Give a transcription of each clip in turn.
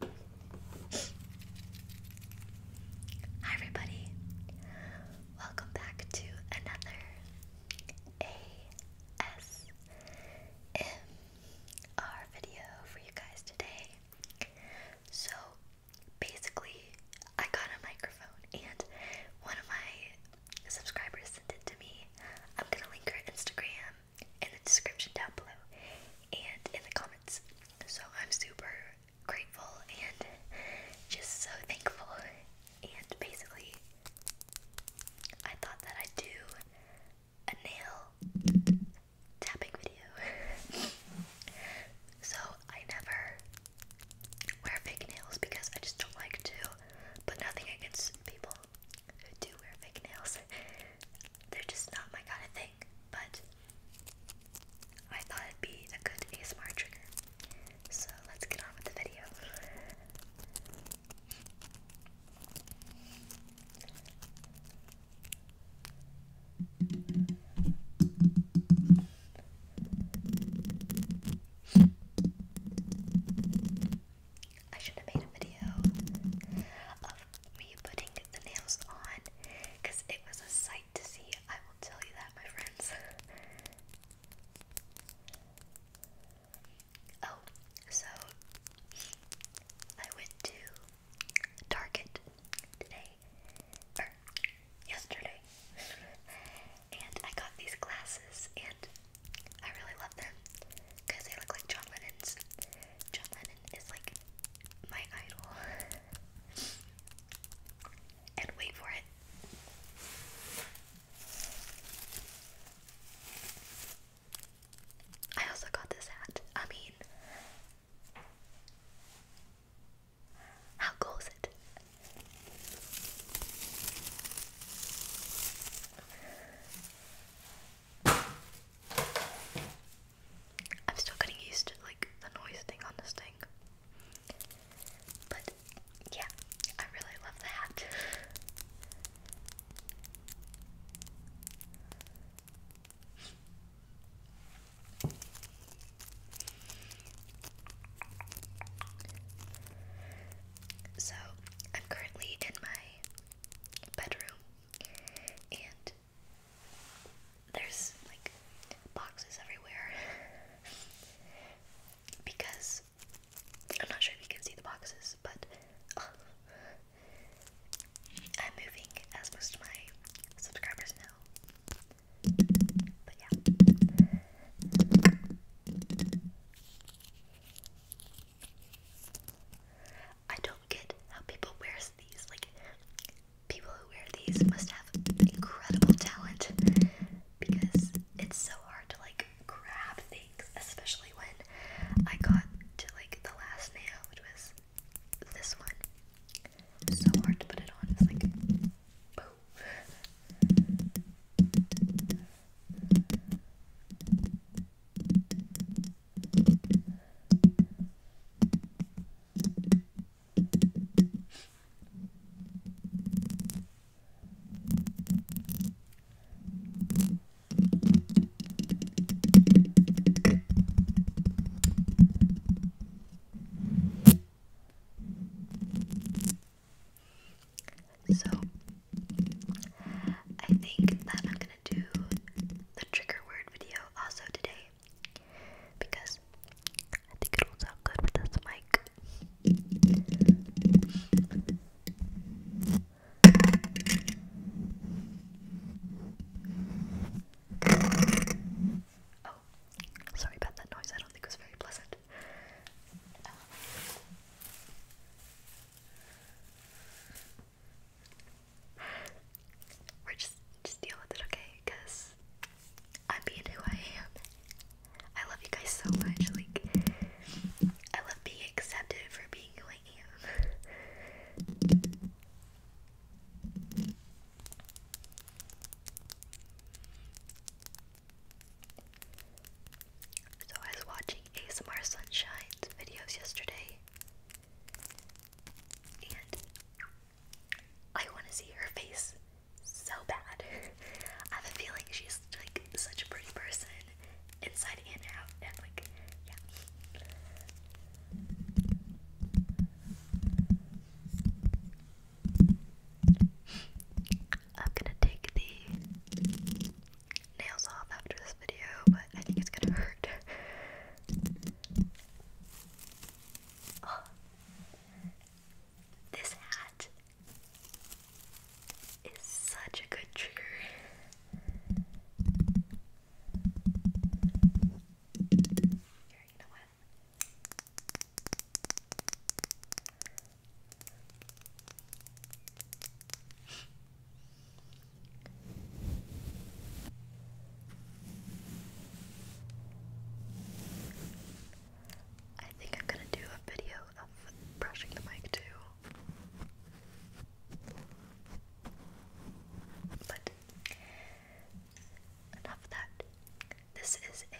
Hi, everybody. Welcome back to another ASMR video for you guys today. So, basically, I got a microphone, and one of my subscribers sent it to me. I'm gonna link her Instagram in the description down below and in the comments. So I'm super grateful and just so thankful. And basically, I thought that I'd do a nail tapping video. so I never wear fake nails because I just don't like to, but nothing against people who do wear fake nails they're just not my kind of thing, but I thought it'd be a good ASMR trigger. So let's get on with the video. I should have made a video me putting the nails on because it was a sight to see. I will tell you that, my friends. oh, so I went to Target today, or yesterday, and I got these glasses, and I really love them because they look like John Lennon's. John Lennon is like my idol. and wait for it. I also got this hat. I mean, how cool is it? I'm still getting used to like the noise thing on this thing. But yeah, I really love the So, I'm currently in my bedroom and there's like boxes everywhere because I'm not sure if you can see the boxes, but uh, I'm moving as most of my subscribers know. But yeah. I don't get how people wear these. Like people who wear these must have incredible talent because it's so hard to like grab things, especially when I got to like the last nail, which was this one. So hard to put it on. It's like boom. So I think that I'm do the trigger word video also today because I think it will sound good with this mic. Oh, sorry about that noise. I don't think it was very pleasant. Um, we're just just deal with it, okay? Because I'm being who I am. I love you guys so much. Like I love being accepted for being who I am. So I was watching ASMR Sunshine's videos yesterday I want to see her face so bad. I have a feeling she's like such a pretty person inside and out, and like, yeah. I'm gonna take the nails off after this video, but I think it's gonna hurt. Oh, this hat is such a good trigger. I think I'm gonna do a video of brushing the mic too. But enough of that. This is a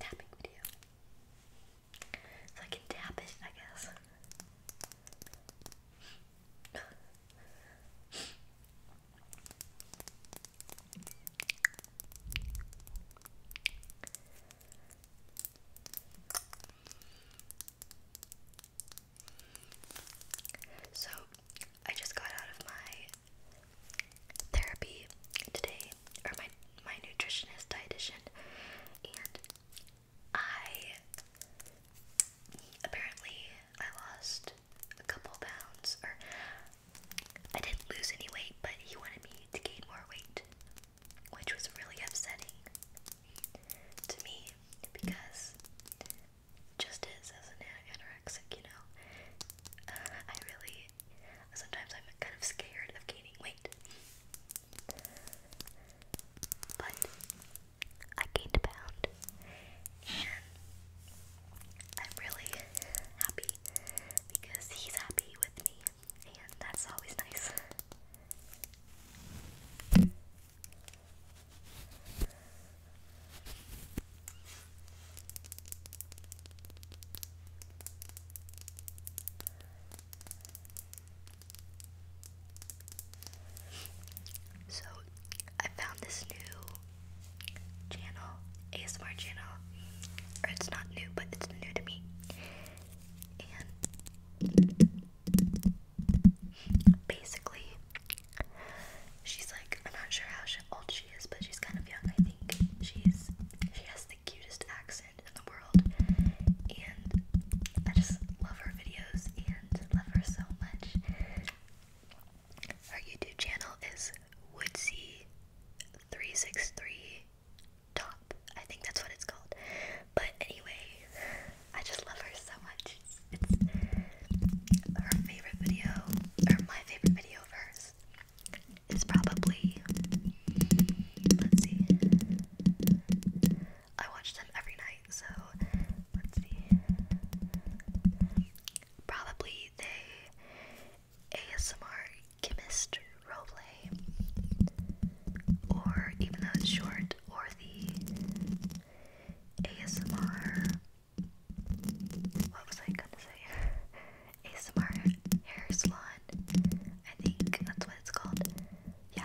tapping video. So I can tap it, I guess. So, I just got out of my therapy today, or my my nutritionist dietitian, and I apparently I lost a couple pounds, or I didn't lose any weight, but he wanted me to gain more weight, which was really upsetting to me because just as an anorexic, you know. I really sometimes I'm kind of scared of gaining weight. But I gained a pound, and I'm really happy because he's happy with me, and that's always nice. So I found this new channel, ASMR channel, or it's not new, but it's new to me. And basically, she's like, I'm not sure how old she is, but she's kind of young, I think. She's she has the cutest accent in the world. And I just love her videos and love her so much. Her YouTube channel is Woodsy363 Top. I think that's what it's called. But anyway, I just love her so much. her favorite video, or my favorite video of hers. It's probably, let's see, I watch them every night, so let's see. Probably they ASMR chemist roleplay, or even though it's short, or the ASMR. What was I gonna say? ASMR hair salon. I think that's what it's called. Yeah.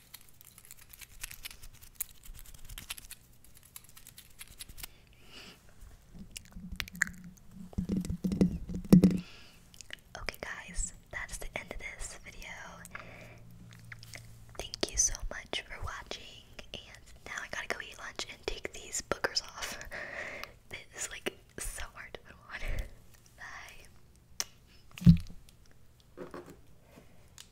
Okay, guys, that's the end of this video. Thank you so much for watching, and now I gotta go eat lunch and take these bookers off. this is like so hard to put on. Bye.